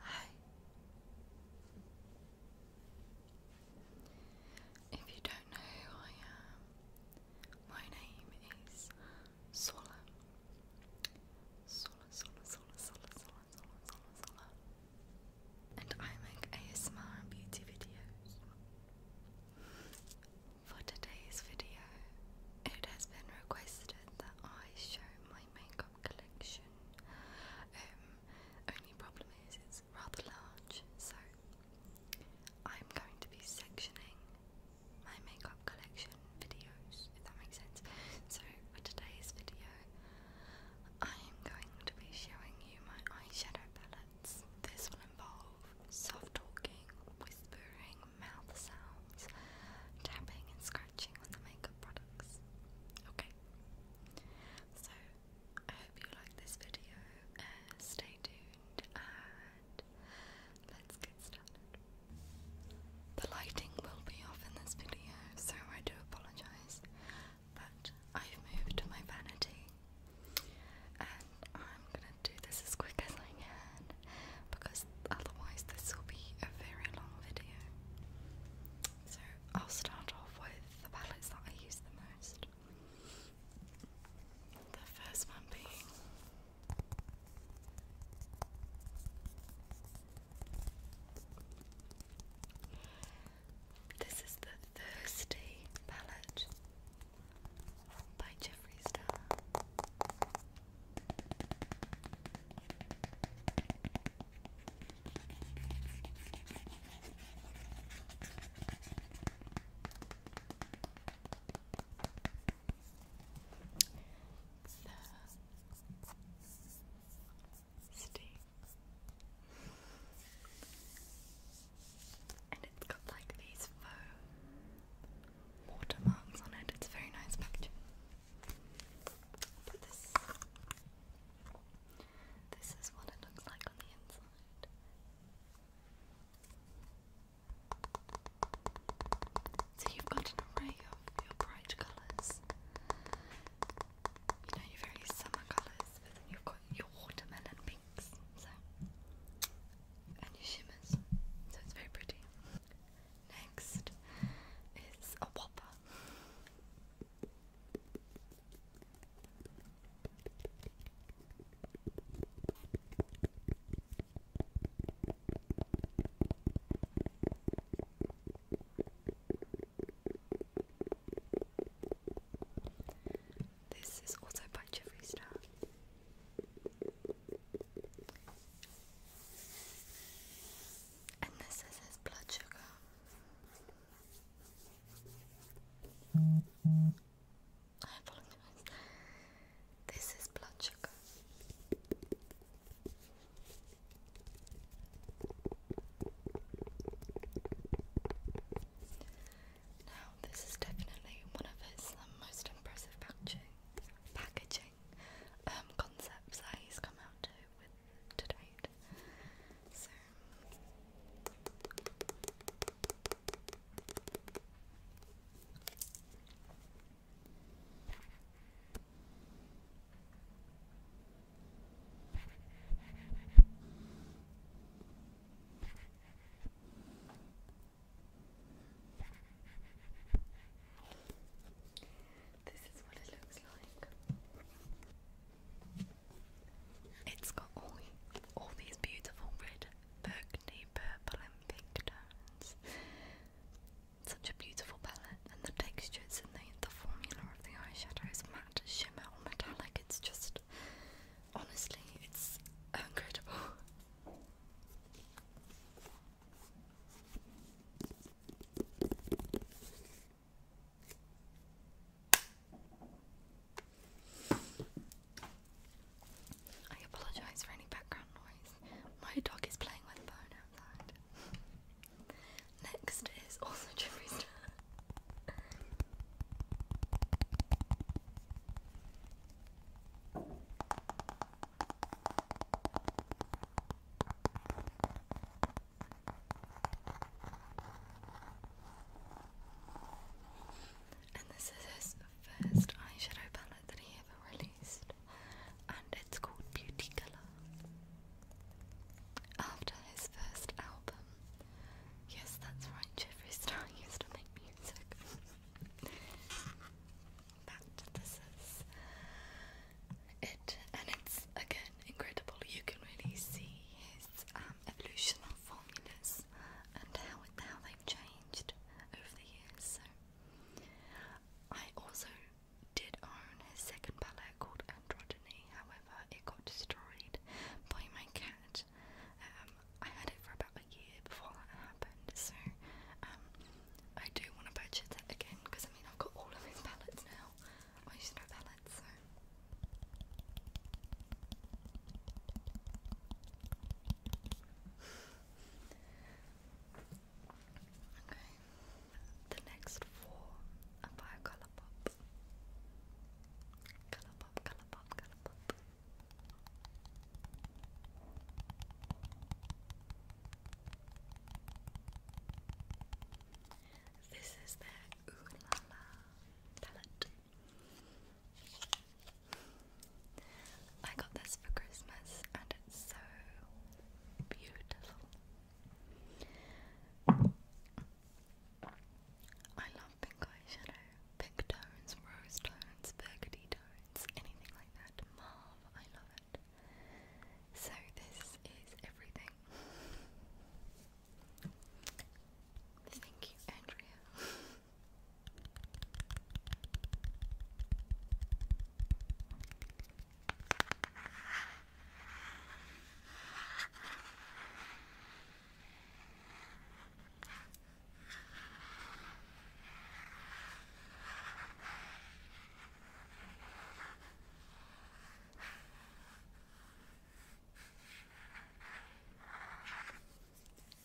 Hi. If you don't know who I am, my name is Sola. Sola, Sola, Sola, Sola, Sola, Sola, Sola, Sola. And I make ASMR beauty videos. For today's video, it has been requested that I show my makeup collection. Um, only problem is it's rather large, so I'm going to be sectioning my makeup collection videos, if that makes sense. So for today's video, I am going to be showing you my eyeshadow palettes. This will involve soft talking, whispering, mouth sounds, tapping and scratching scratching on the makeup products. Okay. So I hope you like this video. Uh, stay tuned and let's get started. The lighting will be off in this video, so I do apologize. But I've moved my vanity and I'm gonna do this as quick as I can because otherwise this will be a very long video. So I'll start off with the palettes that I use the most. The first one being this is the Thirsty palette by Jeffree Star. Steam. And it's got like these faux watermarks on it. It's a very nice picture. But So you've got an array of your bright colours. You know, your very summer colours, but then you've got your watermelon pinks, so and your shimmers. So it's very pretty. Next is a whopper. This is also by Jeffrey Star. And this is his blood sugar. This is blood sugar. Now, this is definitely one of his um, most impressive packaging, um, concepts that he's come out with tonight. So this is what it looks it's got all, all these beautiful red burgundy, purple and pink tones. Such a beautiful palette and the textures and the, the formula of the eyeshadows, matte, shimmer metallic, it's just, honestly, it's incredible. I apologize for any background noise. My dog is playing with a bone outside. Next is also Jimmy's and this is his first eyeshadow palette that he ever released, and it's called Beauty Color. After his first album, yes, that's right, Jeffree Star used to make music. but this is it, and it's again incredible. You can really see his um, evolution of formulas and how how they've changed over the years. So I also did own his second palette called Androgyny. However, it got destroyed by my cat. Um, I had it for about a year before that happened, so um, I do want to purchase that again because I mean I've got all of his palettes now. Oh, you should know that, okay. The next four are by Pop. Colour Pop, Colour Pop, Colour Pop. This is the Ooh palette. I got this for Christmas and it's so beautiful. I love pink eyeshadow. Pink tones, rose tones, burgundy tones, anything like that. Mauve, I love it. So this is everything Thank you, Andrea.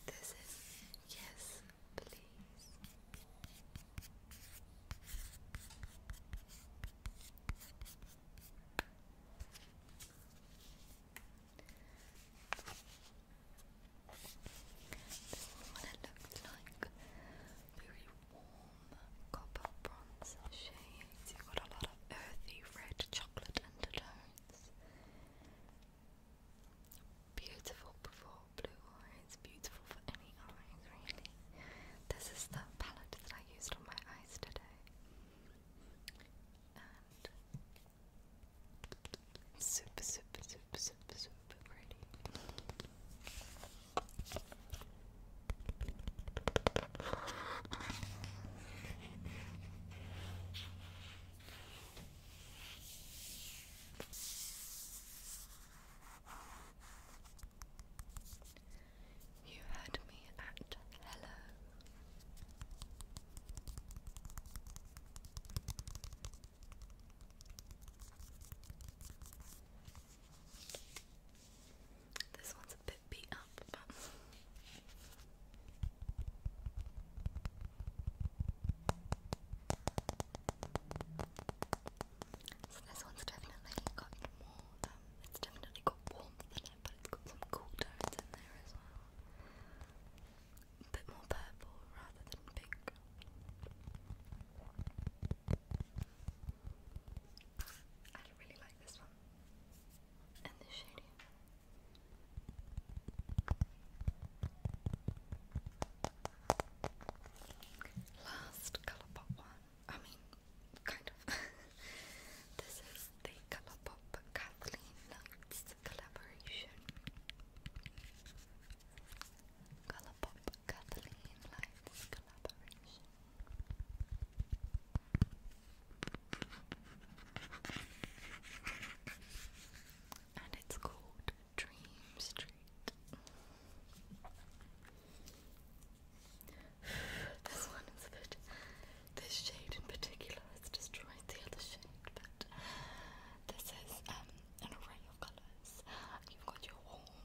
This is yes, please. what it looks like warm copper bronze shades. You've got a lot of earthy red chocolate undertones. Beautiful for blue eyes, beautiful for any eyes really. This is the palette that I used on my eyes today. And super, super, super, super, super pretty. You had me at hello. This one's a bit beat up, but this one's definitely got more. Um, it's definitely got warmth in it, but it's got some cool tones in there as well. A bit more purple rather than pink. I really like this one and the shading. one, I mean, kind of. this is the Colourpop Kathleen Lights collaboration. Colourpop Kathleen Lights collaboration. And it's called Dream Street. this one is a bit. This shade in particular has destroyed the other shade, but uh, this is um, an array of colours. You've got your warm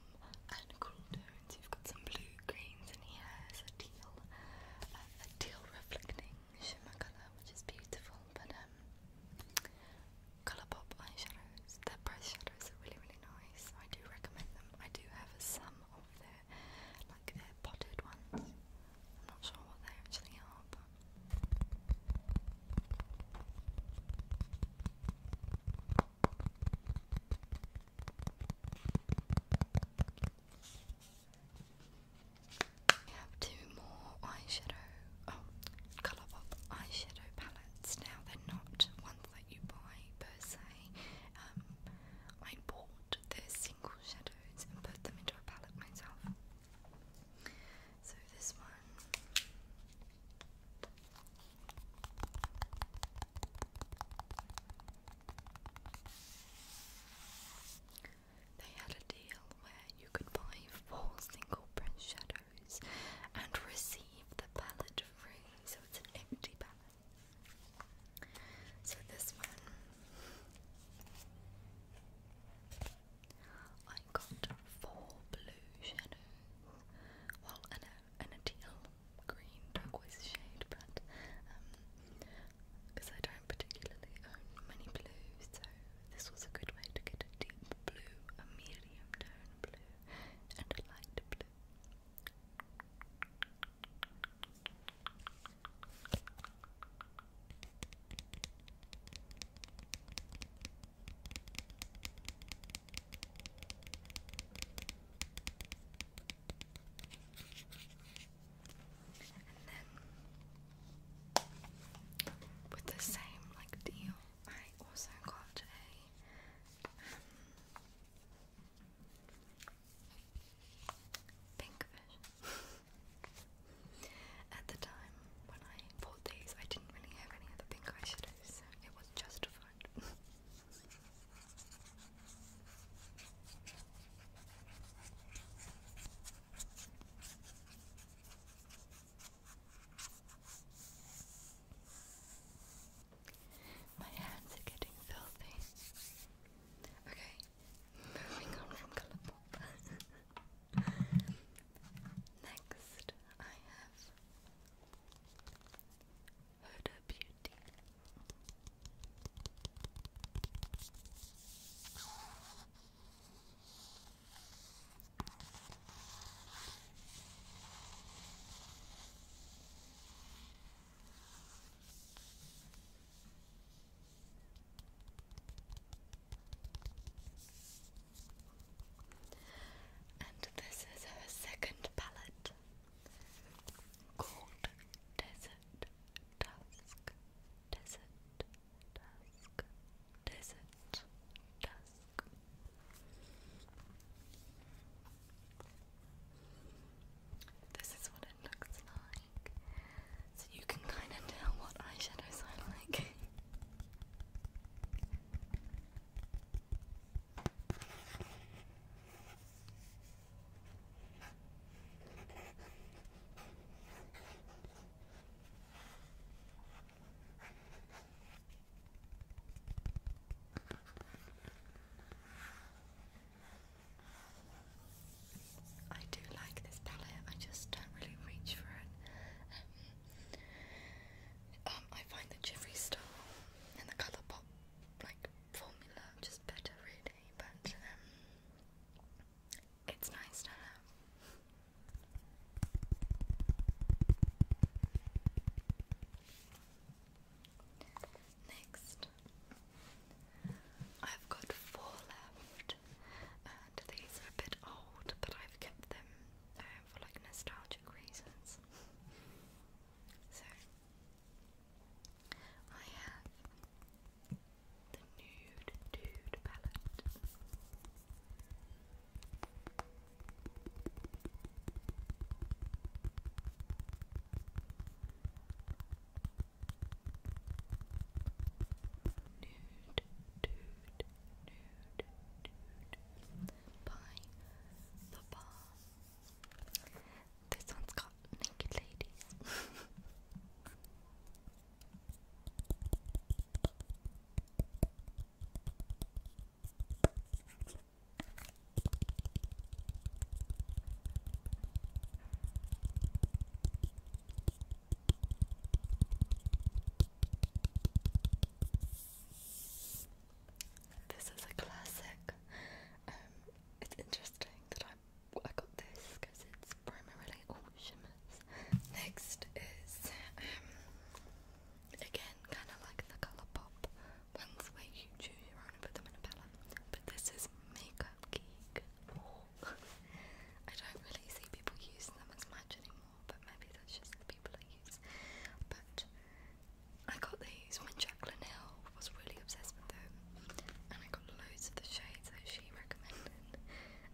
and cool You've got some blue greens in here. It's a teal, uh, a teal reflecting shimmer color, which is beautiful. But um, eyeshadows. Their price shadows are really really nice. I do recommend them. I do have some of their like their potted ones. I'm not sure what they actually are, we have two more eyeshadow, oh, Colour eyeshadow palettes. Now, they're not ones that you buy per se. Um, I bought the single shadows and put them into a palette myself. So, this one. They had a deal where you could buy four single print shadows and receive the palette free, so it's an empty palette. So this one I got four blue shadows. Well and a and a teal green turquoise shade, but because um, I don't particularly own many blues, so this was a good way to get a deep blue, a medium tone blue, and a light blue. And then with the same like deal, I also got a um, At the time when I bought these, I didn't really have any other pink eyeshadows, so it was justified. My hands are getting filthy. Okay, moving on from Colourpop. Next, I have Huda Beauty. And this is her second palette called Desert dusk, desert, dusk, desert, dusk. This is what it looks like. So you can kind of tell what eyeshadows I like. I do like this palette, I just don't really reach for it. Um, um, I find the Jiffy Star and the Colourpop like formula just better, really but um, it's nice to have. Next, I've got four left, and these are a bit old, but I've kept them um, for like nostalgic reasons. So, I have the Nude Dude palette. Nude Dude, Nude Dude by The Bar. This one's got naked ladies. This is a classic. Um, it's interesting that I I, got this because it's primarily all shimmers. Next is, um, again, kind of like the Colourpop ones where you choose your own and put them in a palette. But this is Makeup Geek. I don't really see people use them as much anymore, but maybe that's just the people I use. But I got these when Jacqueline Hill I was really obsessed with them, and I got loads of the shades that she recommended.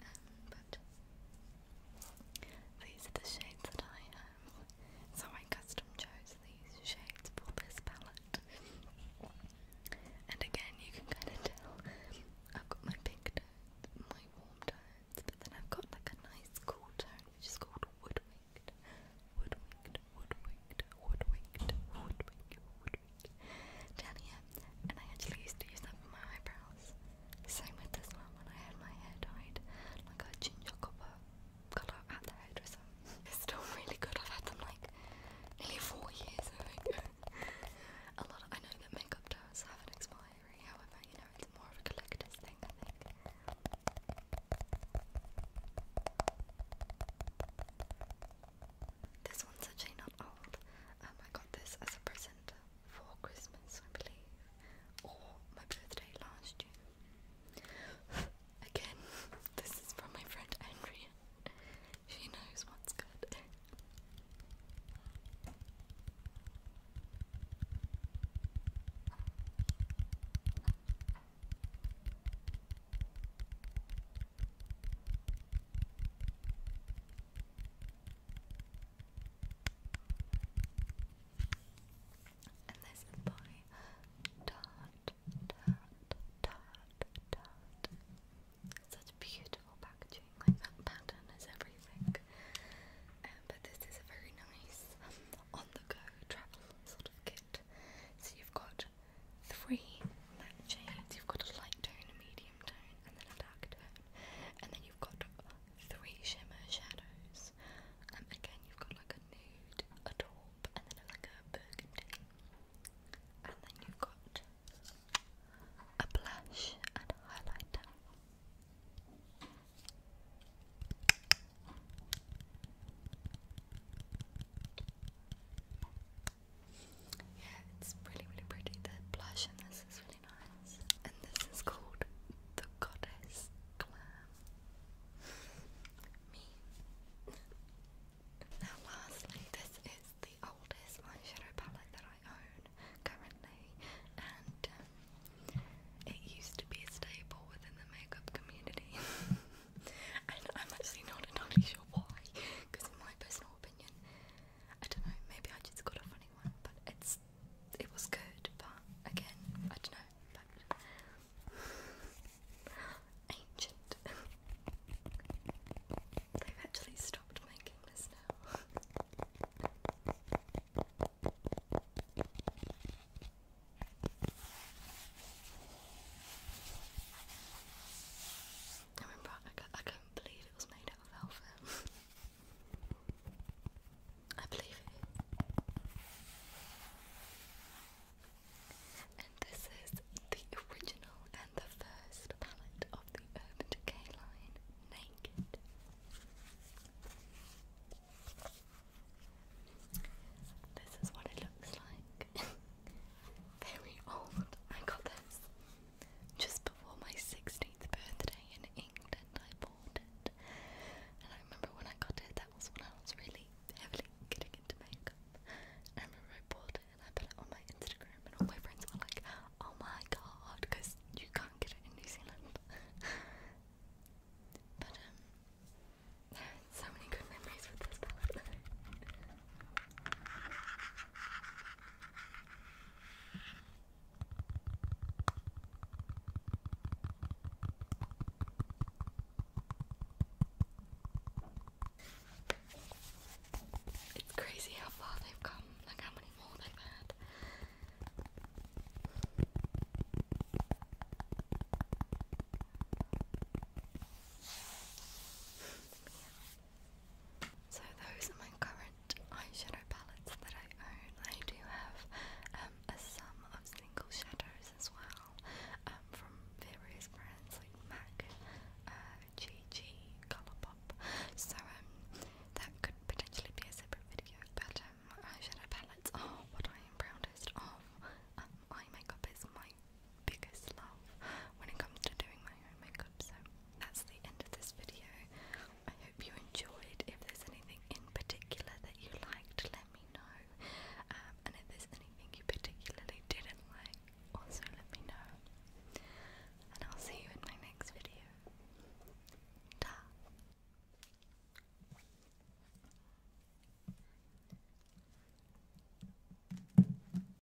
Um, but these are the shades that I have, so I custom chose these shades for this palette. And again, you can kind of tell I've got my pink tones, my warm tones, but then I've got like a nice cool tone which is called woodwind. Woodwind, woodwind, woodwind, woodwind, woodwind, down and I actually used to use that for my eyebrows. Same with this one when I had my hair dyed, like a ginger copper colour at the hairdresser. It's still really good. I've had them like nearly four years, I a lot. I know that makeup does have an expiry, however, you know, it's more of a collector's thing, I think. This one's actually not old. Um, I got this as a present for Christmas, I believe, or my birthday last year. Again, this is from my friend Andrea. She knows what's good. And this is by Tarte, Tarte, Tarte, Such beautiful packaging, like that pattern is everything. Um, but this is a very nice on the go travel sort of kit. So you've got three matte shades. You've got a light tone, a medium tone, and then a dark tone. And then you've got three shimmer shadows. Um, again, you've got like a nude, a taupe, and then like a burgundy. And then you've got a blush and highlighter. Yeah, it's really, really pretty. The blush in this is really nice. And this is called The Goddess Glam. Now, lastly, this is the oldest eyeshadow palette that I own currently, and um, it used to be a within the makeup community. and I'm actually not entirely sure why, because my personal I don't know, maybe I just got a funny one, but it's it was good, but again, I don't know, but ancient. They've actually stopped making this now. I remember I, I couldn't believe it was made out of velvet. I believe it. And this is the original and the first palette of the Urban Decay line, Naked. This is what it looks like. Very old. I got this just before my 16th birthday in England. I bought it. And I remember when I got it, that was when I was really heavily getting into makeup. I remember I bought it and I put it on my Instagram, and all my friends were like, oh my god, because you can't get it in New Zealand. but, um, so many good memories with this palette. It's crazy how far they've come, like how many more they've had. So those are my current eyeshadow palettes that I own. I do have um, a sum of single shadows as well um, from various brands like MAC, uh, GG, Colourpop. So um, that could potentially be a separate video, but um, eyeshadow palettes are what I am proudest of. Um, makeup is my biggest love when it comes to doing my own makeup. So that's the end of this video. I hope you enjoyed. If there's anything in particular that you liked, let me know. Um, and if there's anything you particularly didn't like, also let me know. And I'll see you in my next video. Ta!